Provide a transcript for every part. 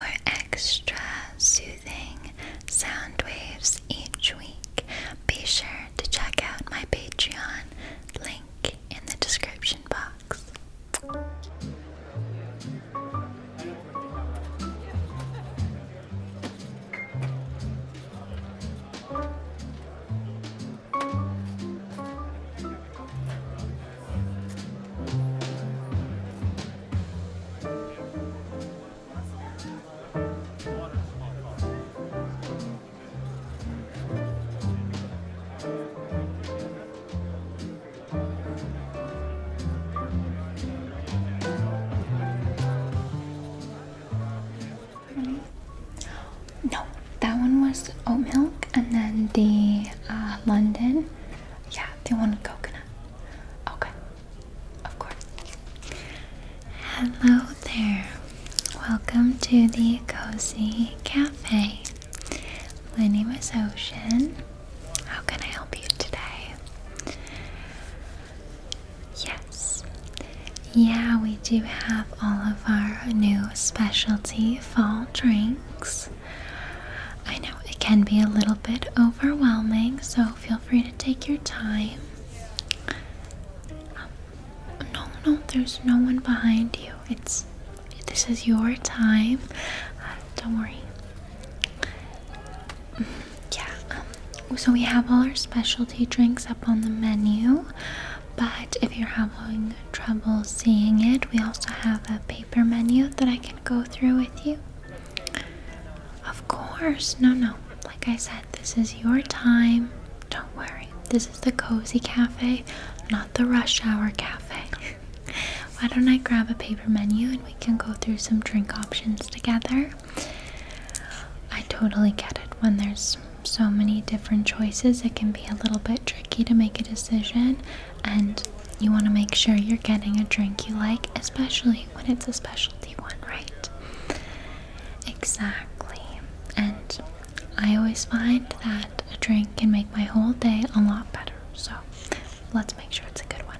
for extra soothing sound waves each week, be sure to check out my Patreon link in the description box. No, that one was oat milk, and then the uh, London, yeah, the one with coconut. Okay, of course. Hello there. Welcome to the Cozy Cafe. My name is Ocean. How can I help you today? Yes. Yeah, we do have all of our new specialty fall drinks. I know it can be a little bit overwhelming, so feel free to take your time. Um, no, no, there's no one behind you. It's this is your time. Uh, don't worry. Mm-hmm, yeah. Um, so we have all our specialty drinks up on the menu, but if you're having trouble seeing it, we also have a paper menu that I can go through with you. Of course, no, no. Like I said, this is your time. Don't worry. This is the cozy cafe, not the rush hour cafe. Why don't I grab a paper menu and we can go through some drink options together? I totally get it. When there's so many different choices, it can be a little bit tricky to make a decision and you want to make sure you're getting a drink you like, especially when it's a specialty one, right? Exactly. And I always find that a drink can make my whole day a lot better, so let's make sure it's a good one.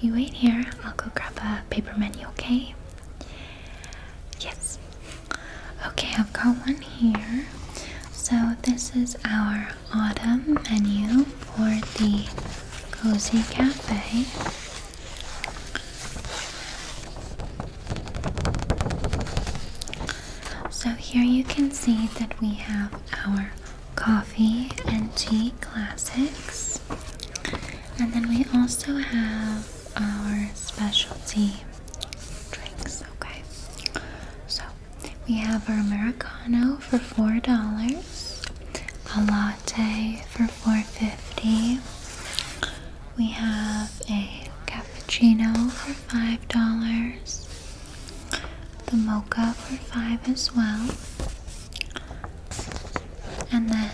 You wait here, I'll go grab a paper menu, okay? Yes. Okay, I've got one here. So, this is our autumn menu for the Cozy Cafe. So, here you can see that we have our coffee and tea classics, and then we also have our specialty drinks. Okay, so we have our Americano for four dollars a latte for 4.50. We have a cappuccino for $5. The mocha for 5 as well. And then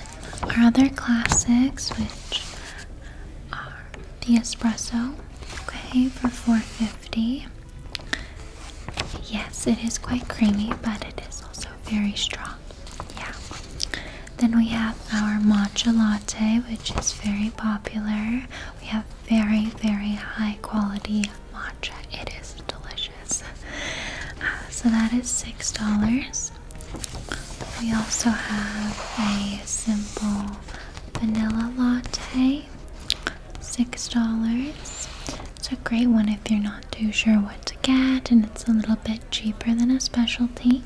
our other classics which are the espresso, okay, for 4.50. Yes, it is quite creamy, but it is also very strong. Yeah. Then we have our matcha latte, which is very popular. We have very, very high quality matcha. It is delicious. Uh, so that is $6. We also have a simple vanilla latte six dollars it's a great one if you're not too sure what to get and it's a little bit cheaper than a specialty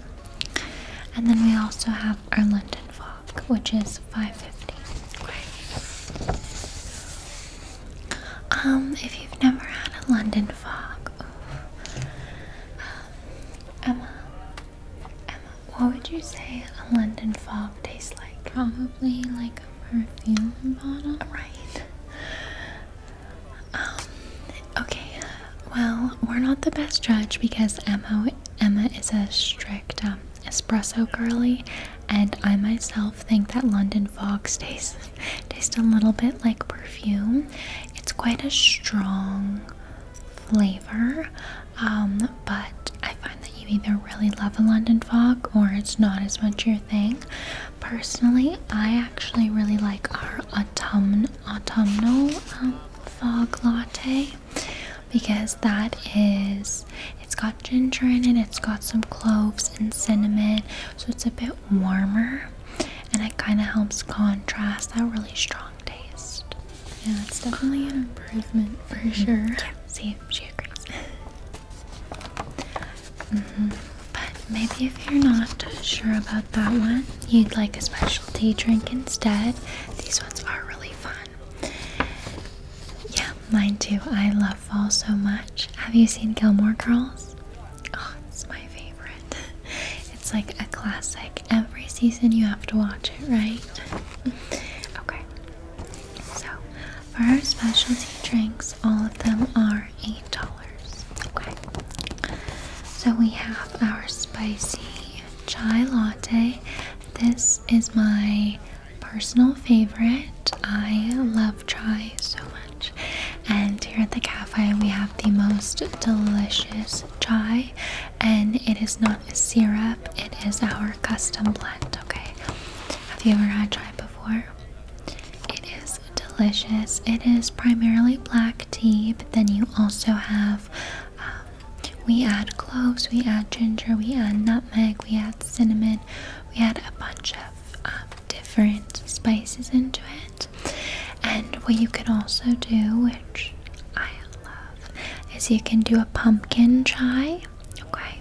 and then we also have our London Fog which is 550 um if you've never had a London Fog ooh, um, Emma Emma what would you say a London Fog tastes like probably like Right. Um, okay. Well, we're not the best judge because Emma Emma is a strict um, espresso girly, and I myself think that London Fog tastes tastes a little bit like perfume. It's quite a strong flavor, um, but I find that you either really love a London Fog or it's not as much your thing. Personally, I actually really like our autumn autumnal um, fog latte because that is it's got ginger in it, it's got some cloves and cinnamon, so it's a bit warmer and it kind of helps contrast that really strong taste. Yeah, it's definitely an improvement for mm-hmm. sure. Yeah, see, she agrees. Mm-hmm. But maybe if you're not sure about that one, you'd like a specialty drink instead. These ones are really fun. Yeah, mine too. I love fall so much. Have you seen Gilmore Girls? Oh, it's my favorite. It's like a classic. Every season you have to watch it, right? okay. So, for our specialty drinks, all of them are $8. Okay. So we have our spicy chai latte. This is my personal favorite. I love chai so much. And here at the cafe, we have the most delicious chai, and it is not a syrup, it is our custom blend. Okay, have you ever had chai before? It is delicious. It is primarily black tea, but then you also have um, we add cloves, we add ginger, we add nutmeg, we add cinnamon, we add a bunch of um, different spices into it. And what you can also do, which I love, is you can do a pumpkin chai. Okay,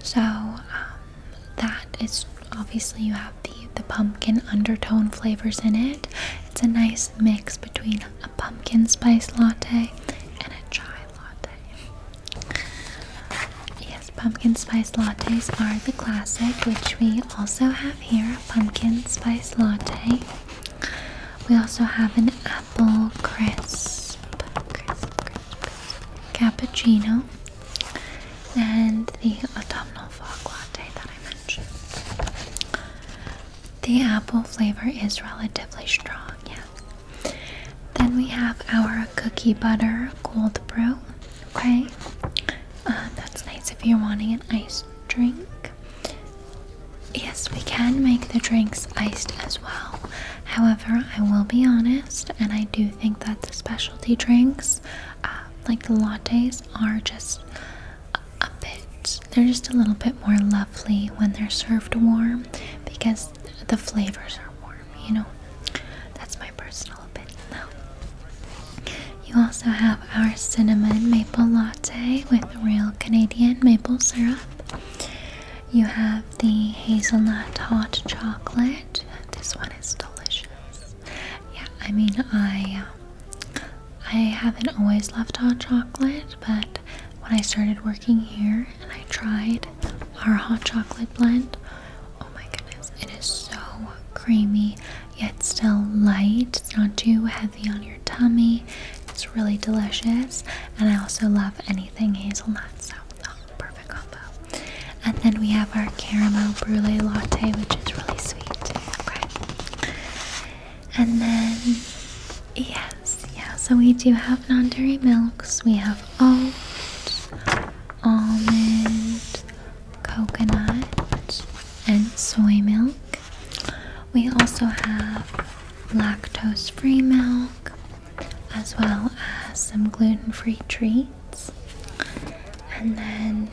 so um, that is obviously you have the the pumpkin undertone flavors in it. It's a nice mix between a pumpkin spice latte and a chai latte. Yes, pumpkin spice lattes are the classic, which we also have here, a pumpkin spice latte. We also have an apple crisp. cappuccino and the autumnal fog latte that I mentioned. The apple flavor is relatively strong, yeah. Then we have our cookie butter cold brew, okay? Um, that's nice if you're wanting an iced drink. Yes, we can make the drinks iced as well. However, I will be honest, and I do think that the specialty drinks uh, like the lattes are just a bit they're just a little bit more lovely when they're served warm because the flavors are warm you know that's my personal opinion though you also have our cinnamon maple latte with real canadian maple syrup you have the hazelnut hot chocolate this one is delicious yeah, I mean, I uh, I haven't always loved hot chocolate, but when I started working here and I tried our hot chocolate blend, oh my goodness, it is so creamy yet still light. It's not too heavy on your tummy. It's really delicious, and I also love anything hazelnut. So Oh, perfect combo. And then we have our caramel brulee latte, which is really sweet. Okay. And then, yes, yeah, so we do have non dairy milks. We have oat, almond, coconut, and soy milk. We also have lactose free milk as well as some gluten free treats. And then,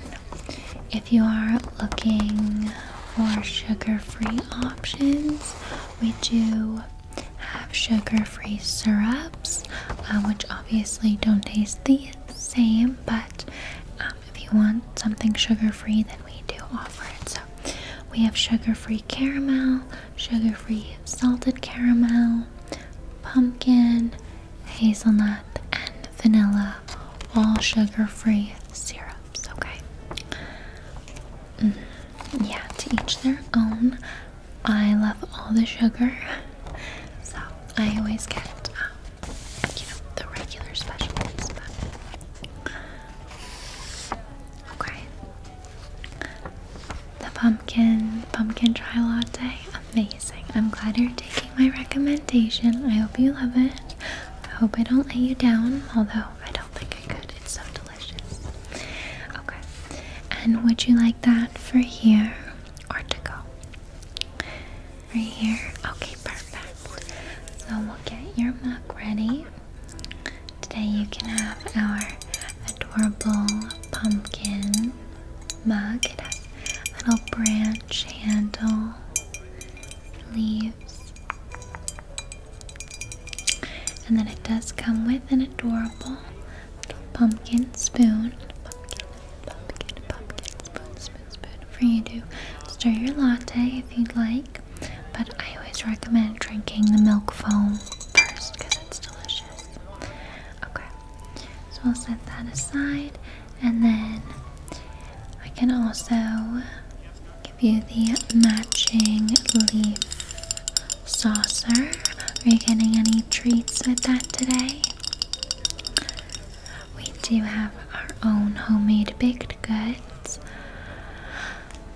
if you are looking for sugar free options, we do have sugar free syrups, um, which obviously don't taste the same, but um, if you want something sugar free, then we do offer it. So, we have sugar free caramel, sugar free salted caramel, pumpkin, hazelnut, and vanilla, all sugar free syrups. Okay. Mm, yeah, to each their own. I love all the sugar, so I always get, um, the regular special ones. Okay. The pumpkin, pumpkin chai latte. Amazing. I'm glad you're taking my recommendation. I hope you love it. I hope I don't let you down, although I don't think I could. It's so delicious. Okay. And would you like that for here or to go? Right here? Okay, perfect. So we'll get your mug ready. Today you can have our adorable pumpkin mug little branch handle leaves and then it does come with an adorable little pumpkin spoon pumpkin, pumpkin, pumpkin spoon, spoon, spoon for you to stir your latte if you'd like but I always recommend drinking the milk foam first because it's delicious okay so I'll set that aside and then I can also give you the matching leaf saucer. Are you getting any treats with that today? We do have our own homemade baked goods.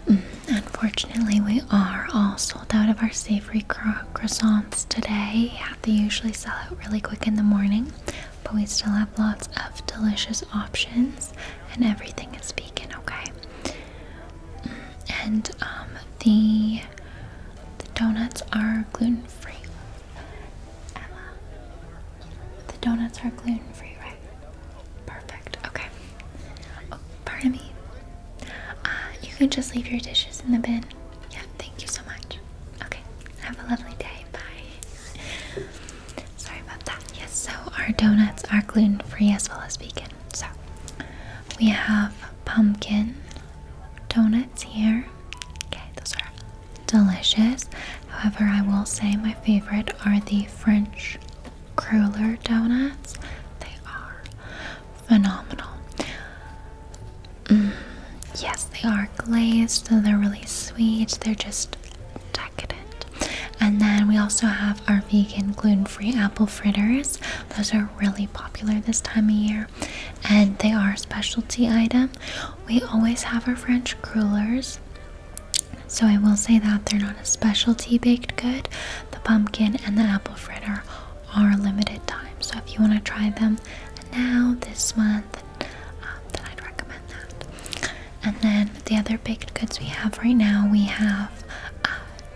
Mm, unfortunately, we are all sold out of our savory croissants today they usually sell out really quick in the morning, but we still have lots of delicious options, and everything is vegan, okay? Mm, and um, the, the donuts are gluten free. the donuts are gluten free, right? Perfect, okay. Oh, pardon me. Uh, you can just leave your dishes in the bin yeah, thank you so much. Okay, have a lovely day. Bye. Sorry about that. Yes, so our donuts are gluten free as well as vegan. So we have pumpkin donuts here. Okay, those are delicious. However, I will say my favorite are the French cruller donuts. They are phenomenal. Mm, yes, they are glazed, so they're really sweet. They're just decadent. And then we also have our vegan gluten-free apple fritters. Those are really popular this time of year, and they are a specialty item. We always have our French crullers. So I will say that they're not a specialty baked good. The pumpkin and the apple fritter are limited time, so if you want to try them now this month, um, then I'd recommend that. And then the other baked goods we have right now, we have uh,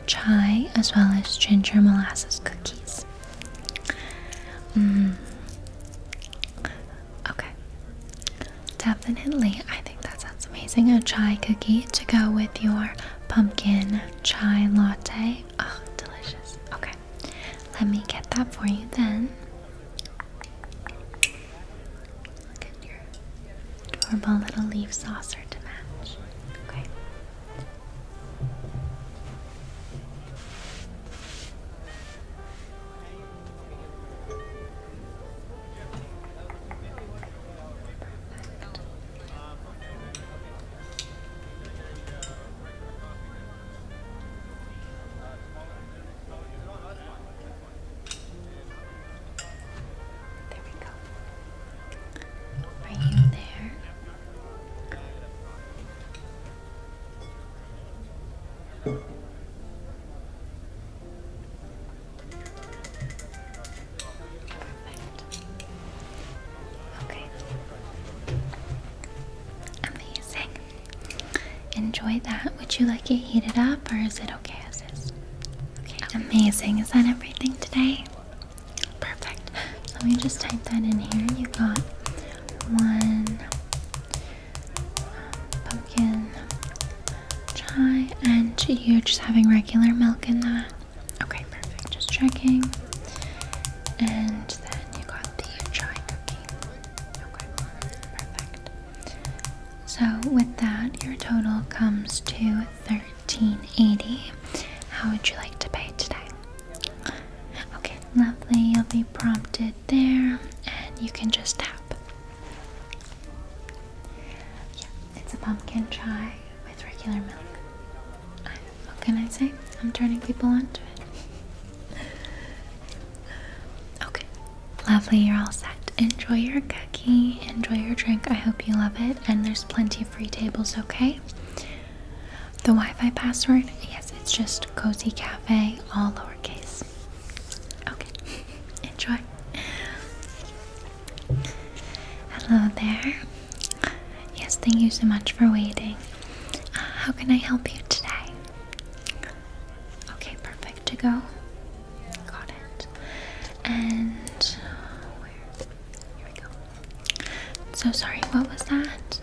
chai as well as ginger molasses cookies. Mm. Okay, definitely. I think that sounds amazing. A chai cookie to go with your pumpkin chai latte. Oh, delicious. Okay let me get that for you then. Look your adorable little leaf saucer to match. Okay. There we go. Are you there? Perfect. Okay. Amazing. Enjoy that. Would you like it heated up or is it okay as is? Okay, amazing. Is that everything today? Perfect. So let me just type that in here. You got one um, pumpkin chai and you're just having regular milk in that. Okay, perfect. Just checking. And then you got the chai cookie. Okay, perfect. So with that, your total comes to 1380. How would you like to pay today? Okay, lovely. You'll be prompted there and you can just tap. Yeah, it's a pumpkin chai with regular milk. What can I say? I'm turning people onto it. okay. Lovely, you're all set. Enjoy your cookie, enjoy your drink. I hope you love it. And there's plenty of free tables, okay? The Wi Fi password? Yes, it's just Cozy Cafe, all lowercase. Okay, enjoy. Hello there. Yes, thank you so much for waiting how can I help you today? Okay, perfect to go. Got it. And So sorry, what was that?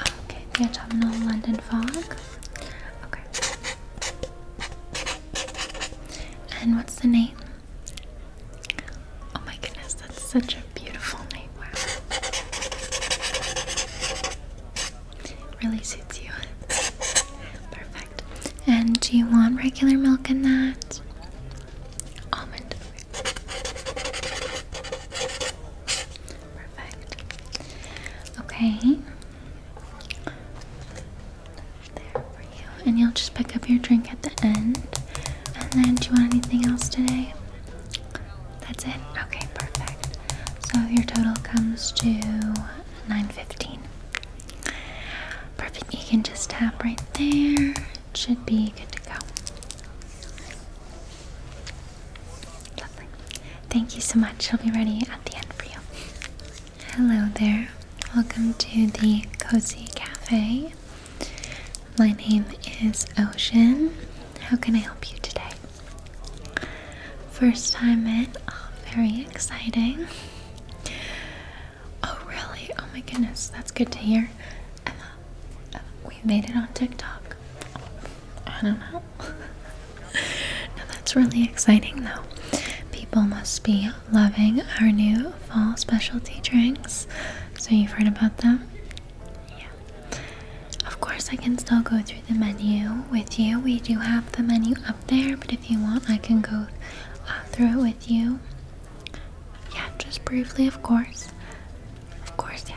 Okay, the autumnal London fog. Okay. And what's the name? Oh my goodness, that's such a beautiful name. Wow. Really suits you. Perfect. And do you want regular milk in that? Almond. Perfect. Okay. There for you. And you'll just pick up your drink at the end. And then, do you want anything else today? That's it? Okay, perfect. So your total comes to 915. Perfect. You can just tap right there. It should be good to go. Lovely. Thank you so much. i will be ready at the end for you. Hello there. Welcome to the Cozy Cafe. My name is Ocean. How can I help you today? First time in, oh, very exciting. Oh, really? Oh my goodness, that's good to hear. Emma, uh, we made it on TikTok. I don't know. now that's really exciting though. People must be loving our new fall specialty drinks. So you've heard about them? Yeah, of course, I can still go through the menu with you. We do have the menu up there, but if you want, I can go uh, through it with you. Yeah, just briefly, of course. Of course, yeah.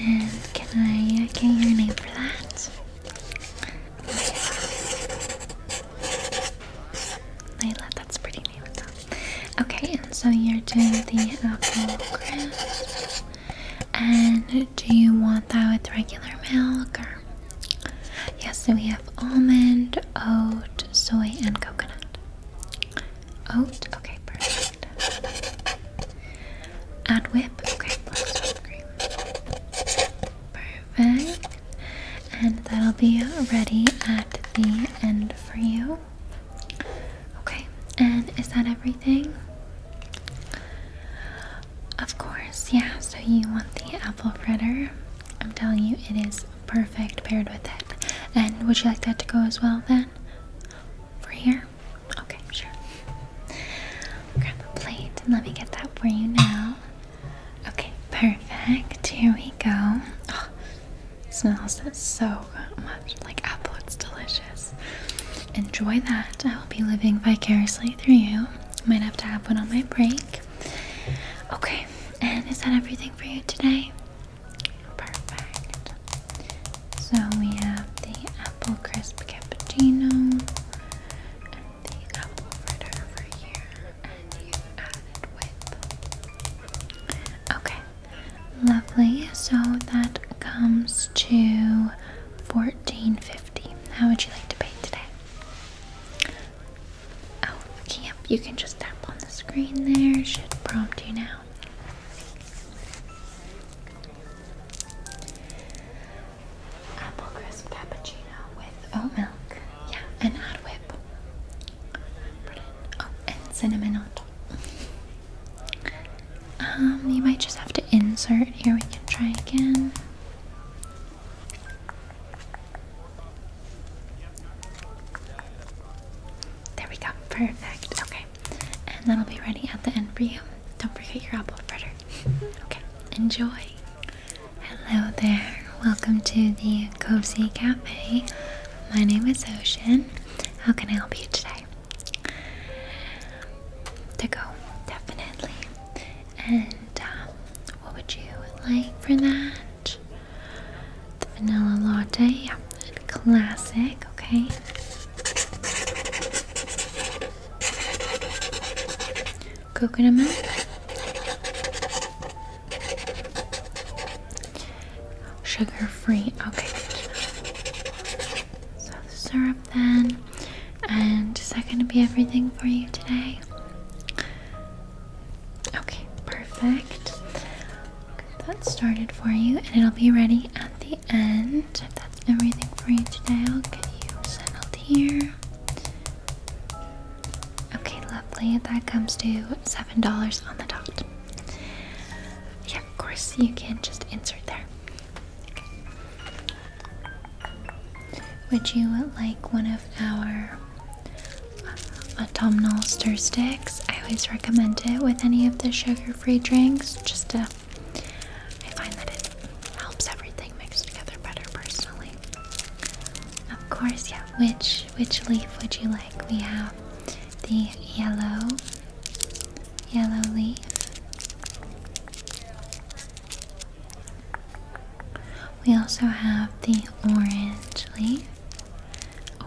And can I get uh, your name for that? Layla, that's a pretty name Okay, and so you're doing the apple crisp. And do you want that with regular milk or Yes, so we have almond, oat, soy, and coconut. Oat, okay, perfect. Add whip, okay, plus whipped cream. Perfect. And that'll be ready at the end for you. Okay, and is that everything? Of course, yeah, so you want the apple fritter. I'm telling you, it is perfect paired with it. And would you like that to go as well then? Over here? Okay, sure. Grab a plate and let me get that for you now. Okay, perfect. Here we go. Oh, smells so much like apple. It's delicious. Enjoy that. I will be living vicariously through you. Might have to have one on my break. Okay, and is that everything for you today? Perfect. So we have the apple crisp cappuccino and the apple fritter over here, and you added with. Okay, lovely. So that comes to fourteen fifty. How would you like to pay today? out oh, of You can just tap on the screen there, should prompt you now. Apple crisp cappuccino with oat milk. Yeah, and hot whip. Oh, and cinnamon on top. Um, you might just have to insert here. We can try again. There we go. Perfect. Okay. And that'll be ready at the end for you. Don't forget your apple fritter. okay. Enjoy. Hello there. Welcome to the Cozy Cafe. My name is Ocean. How can I help you today? To go, definitely. And um, what would you like for that? The vanilla latte, and classic, okay. Coconut milk. Sugar free, okay. So the syrup then. And is that gonna be everything for you today? Okay, perfect. Get that started for you, and it'll be ready at the end. that's everything for you today, I'll get you settled here. Okay, lovely. That comes to seven dollars on the dot. Yeah, of course you can just insert there. Would you like one of our autumnal stir sticks. I always recommend it with any of the sugar-free drinks. Just to, I find that it helps everything mix together better personally. Of course, yeah. Which which leaf would you like? We have the yellow, yellow leaf. We also have the orange leaf. Oh.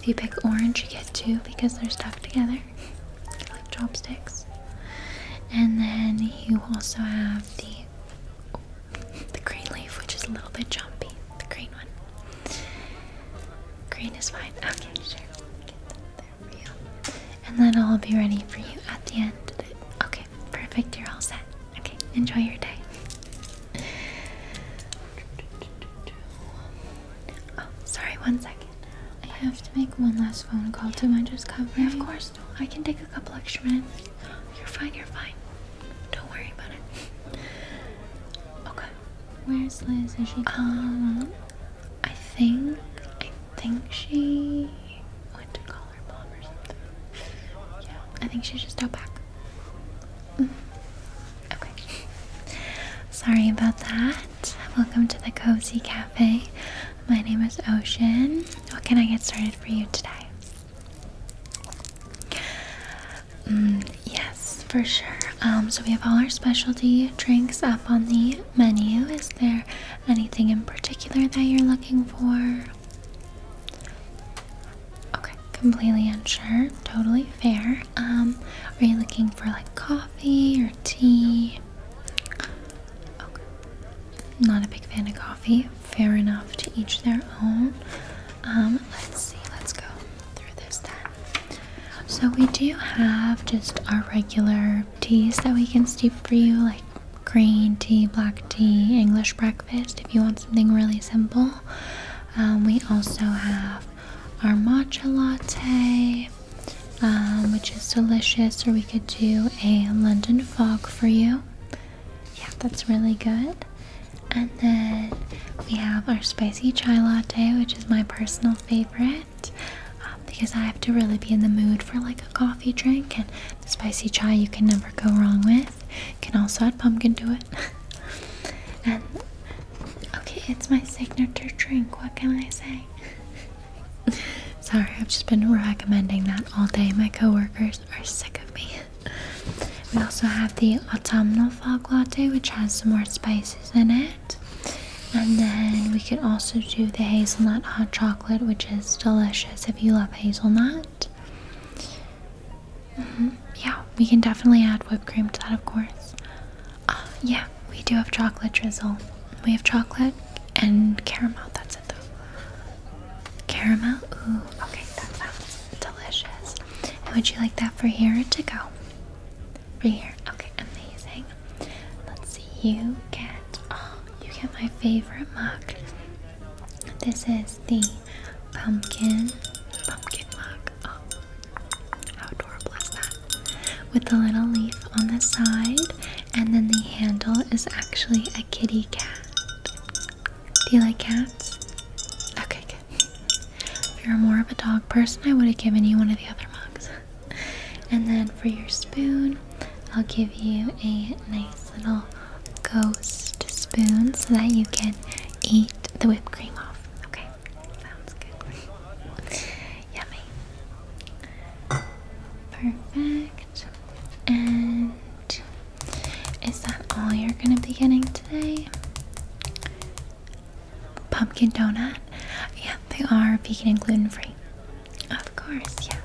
If you pick orange, you get two because they're stuck together like chopsticks. And then you also have the the green leaf, which is a little bit jumpy. The green one. Green is fine. Okay, sure. And then I'll be ready for you at the end. Okay perfect. You're all set. Okay, enjoy your day. Oh, sorry, one second. I have to make one last phone call to my just cover. Yeah, of course. No, I can take a couple extra minutes. You're fine, you're fine. Don't worry about it. Okay. Where's Liz? Is she Um, I think I think she went to call. Yeah, I think she just got back. Mm. Okay. Sorry about that. Welcome to the Cozy Cafe. My name is Ocean. What can I get started for you today? Mm, yes, for sure. Um, so we have all our specialty drinks up on the menu. Is there anything in particular that you're looking for? Okay, completely unsure. Totally fair. Um, are you looking for like coffee or tea? Okay. Not a big fan of coffee. Fair enough to each their own. Um, let's see, let's go through this then. So we do have just our regular teas that we can steep for you, like green tea, black tea, English breakfast if you want something really simple. Um, we also have our matcha latte, um, which is delicious, or we could do a London fog for you. Yeah, that's really good. And then we have our spicy chai latte, which is my personal favorite um, because I have to really be in the mood for like a coffee drink, and spicy chai you can never go wrong with with. Can also add pumpkin to it. okay, it's my signature drink. What can I say? Sorry, I've just been recommending that all day. My coworkers are sick of me. We also have the autumnal fog latte, which has some more spices in it. And then we could also do the hazelnut hot chocolate, which is delicious if you love hazelnut. Mm-hmm. Yeah, we can definitely add whipped cream to that, of course. Uh, yeah, we do have chocolate drizzle. We have chocolate and caramel. That's it, though. Caramel. Ooh, okay, that sounds delicious. would you like that for here to go? For here. Okay, amazing. Let's see. You get. Oh, you get my favorite mug. This is the pumpkin, pumpkin mug. Oh, how adorable With a little leaf on the side, and then the handle is actually a kitty cat. Do you like cats? Okay, good. If you're more of a dog person, I would have given you one of the other mugs. And then for your spoon, I'll give you a nice little ghost spoon so that you can eat the whipped cream off. Okay, sounds good. Yummy. Perfect. And is that all you're gonna be getting today? Pumpkin donut? Yeah, they are vegan and gluten free. Of course, yeah.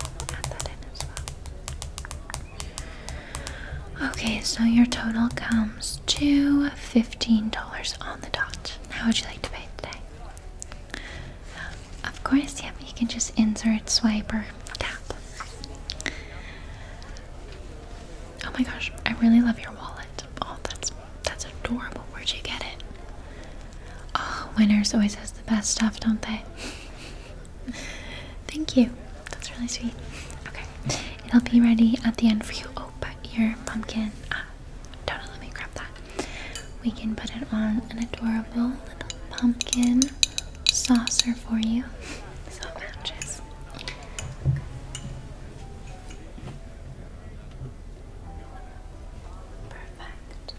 Okay, so your total comes to $15 on the dot. How would you like to pay today? Of course, yep, you can just insert, swipe, or tap. Oh my gosh, I really love your wallet. Oh, that's that's adorable. Where'd you get it? Oh, winners always has the best stuff, don't they? Thank you. That's really sweet. Okay, it'll be ready at the end for you. Oh, but your pumpkin. Ah, don't let me grab that. We can put it on an adorable little pumpkin saucer for you, so it matches. Perfect.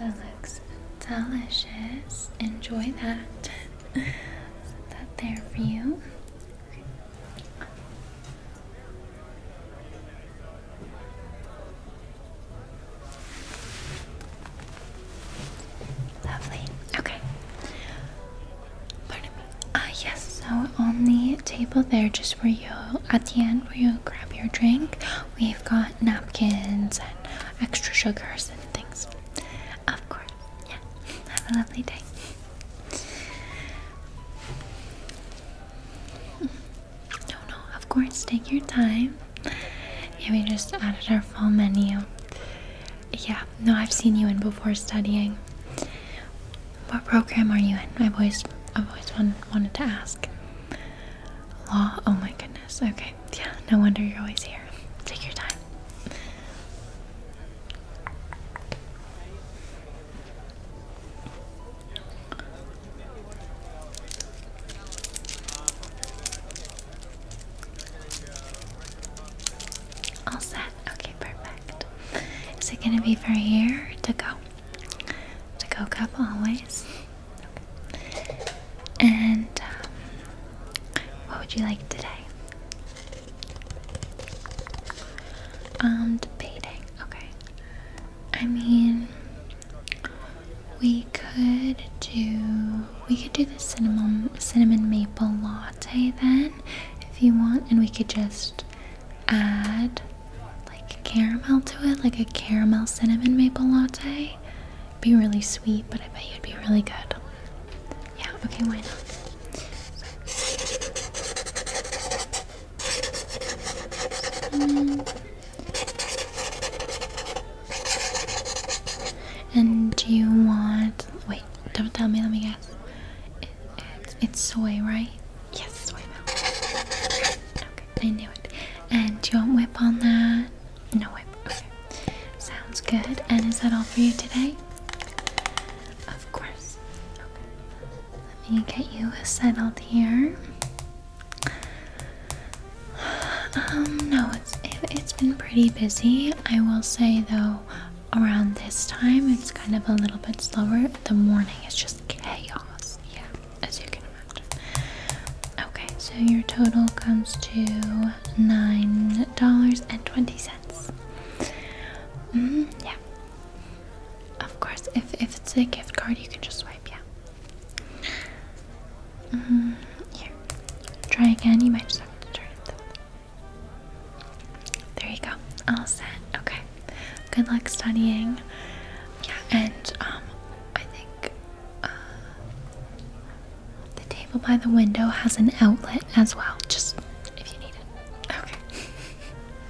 Oh, that looks delicious. Enjoy that. that there for you. Lovely. Okay. Pardon me. Uh, yes, so on the table there, just for you, at the end where you grab your drink, we've got napkins and extra sugars and things. Of course. Yeah. Have a lovely day. No, no, of course, take your time. Yeah, we just added our full menu. Yeah, no, I've seen you in before studying. What program are you in? I've always, I've always wanted to ask. Law? Oh my goodness. Okay, yeah, no wonder you're always here. Take your time. All set. Okay, perfect. Is it gonna be for here to go? To go cup always. And um, what would you like today? I'm um, debating. Okay. I mean, we could do we could do the cinnamon cinnamon maple latte then if you want and we could just add like caramel to it like a caramel cinnamon maple latte be really sweet but I bet you'd be really good yeah okay why not and do you want? Wait, don't tell me. Let me guess. it's soy, right? Yes, soy milk. Okay, I knew it. And do you want whip on that? No whip. Okay, sounds good. And is that all for you today? Of course. Okay. Let me get you settled here. Um, no, it's it, has been pretty busy. I will say though, around this time it's kind of a little bit slower. The morning is just chaos. Yeah, as you can imagine. Okay, so your total comes to nine dollars and twenty cents. Mm, yeah. Of course, if if it's a gift card, you can just swipe. Yeah. Mm-hmm. try again. You might just have to turn it. There you go. All set. Okay. Good luck studying. Yeah, and um, I think uh, the table by the window has an outlet as well. Just if you need it. Okay.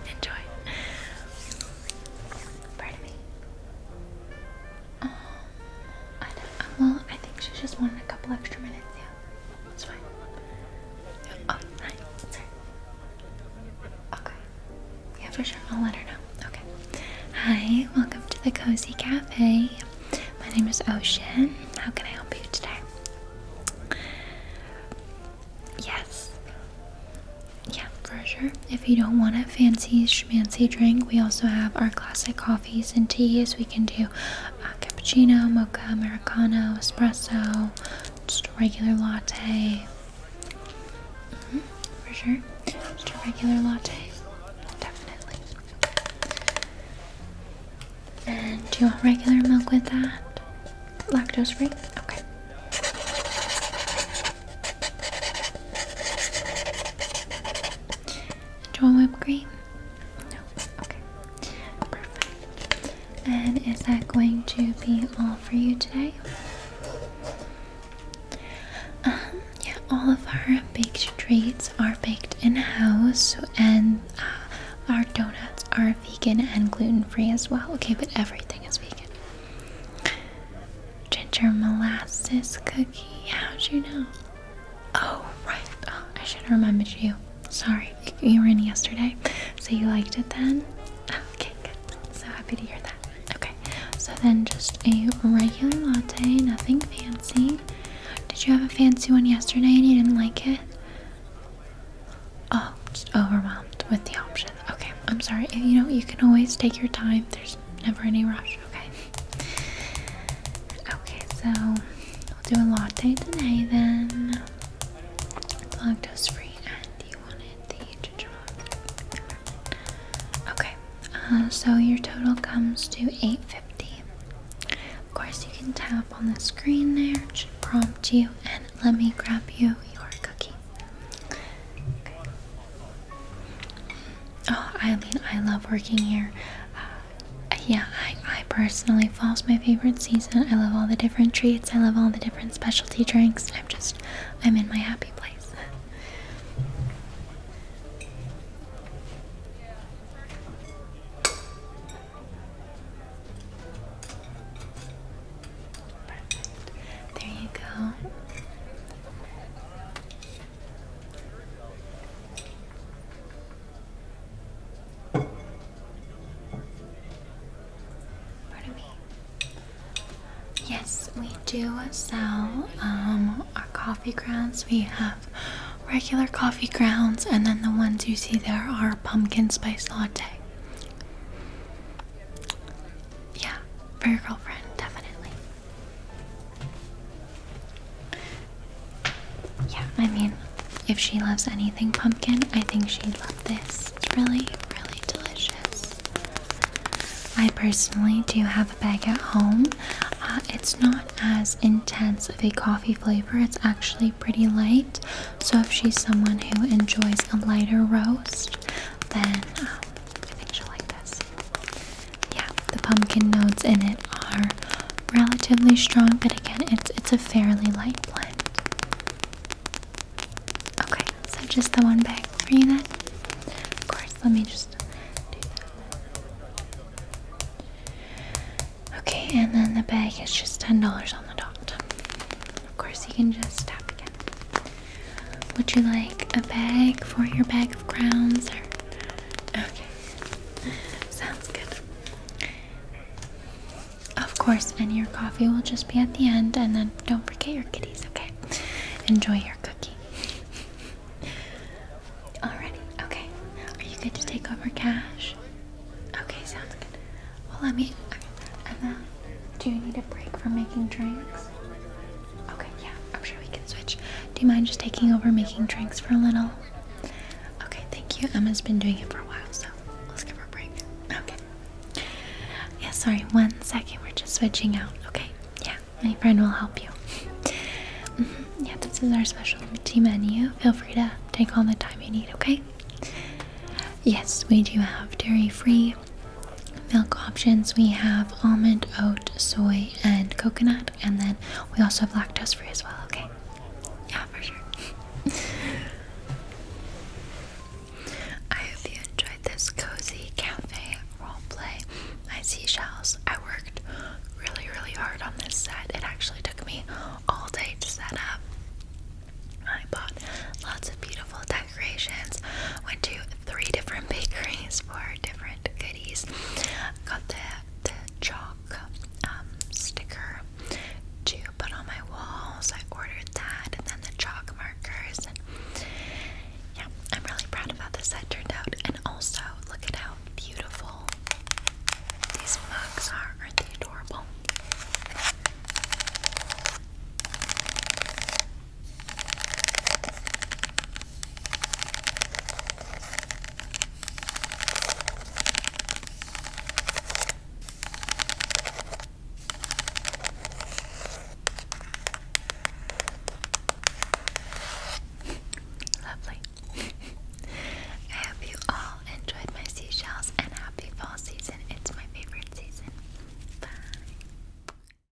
Enjoy. Pardon me. I uh, well, I think she just wanted a couple extra minutes. Yeah, that's fine. Oh, nine. Sorry. Okay. Yeah, for sure. I'll let her know. Okay. Hi, welcome to the Cozy Cafe. My name is Ocean. How can I help you today? Yes. Yeah, for sure. If you don't want a fancy schmancy drink, we also have our classic coffees and teas. We can do uh, cappuccino, mocha, americano, espresso, just a regular latte. Mm-hmm, for sure. Just a regular latte. Definitely. And do you want regular milk with that? Lactose free? Okay. Do you want whipped cream? No. Okay. Perfect. And is that going to be all for you today? Um, yeah, all of our baked treats are baked in house, and uh, our donuts are vegan and gluten free as well. Okay, but everything is vegan. Ginger molasses cookie. How'd you know? Oh, right. Oh, I should have remembered you. Sorry, you were in yesterday. So you liked it then? Okay, good. So happy to hear that. Okay, so then just a regular latte, nothing fancy. Did you have a fancy one yesterday and you didn't like it? Oh, just overwhelmed with the options. Okay, I'm sorry. You know, you can always take your time. There's Never any rush, okay? Okay, so i will do a latte today then. It's lactose free and you wanted the ginger Okay, uh, so your total comes to 850 Of course, you can tap on the screen there, it should prompt you, and let me grab you your cookie. Okay. Oh, Eileen, I love working here. Uh, yeah, I, I personally, fall's my favorite season. I love all the different treats. I love all the different specialty drinks. I'm just, I'm in my happy place. There you go. Yes, we do sell um, our coffee grounds. We have regular coffee grounds, and then the ones you see there are pumpkin spice latte yeah, for your girlfriend, definitely. Yeah, I mean, if she loves anything pumpkin, I think she'd love this. It's really, really delicious. I personally do have a bag at home. Uh, it's not as intense of a coffee flavor, it's actually pretty light. So, if she's someone who enjoys a lighter roast, then um, I think she'll like this. Yeah, the pumpkin notes in it are relatively strong, but again, it's it's a fairly light blend. Okay, so just the one bag for you then. Of course, let me just do that. Okay, and then the bag is just ten dollars on the dot. Of course, you can just tap again. Would you like a bag for your bag of crowns? Okay, sounds good. Of course, and your coffee will just be at the end, and then don't forget your kitties, okay? Enjoy your cookie. Alrighty, okay. Are you good to take over cash? Okay, sounds good. Well, let me. Okay. do you need a break from making drinks? Okay, yeah, I'm sure we can switch. Do you mind just taking over making drinks for a little? Okay, thank you. Emma's been doing it for a while, so let's give her a break. Okay. Yeah, sorry, one second. We're just switching out, okay? Yeah, my friend will help you. Mm-hmm, yeah, this is our specialty menu. Feel free to take all the time you need, okay? Yes, we do have dairy free, Milk options we have almond, oat, soy, and coconut, and then we also have lactose free as well, okay? Yeah, for sure. I hope you enjoyed this cozy cafe roleplay. My seashells. I worked really, really hard on this set. It actually took me all day to set up. I bought lots of beautiful decorations. Went to three different bakeries for different goodies. Got the, the chalk um, sticker to put on my walls. I ordered that and then the chalk markers. yeah, I'm really proud of how this set turned out. And also, look at how beautiful these mugs are. Aren't they adorable? Lovely. I hope you all enjoyed my seashells and happy fall season. It's my favorite season. Bye.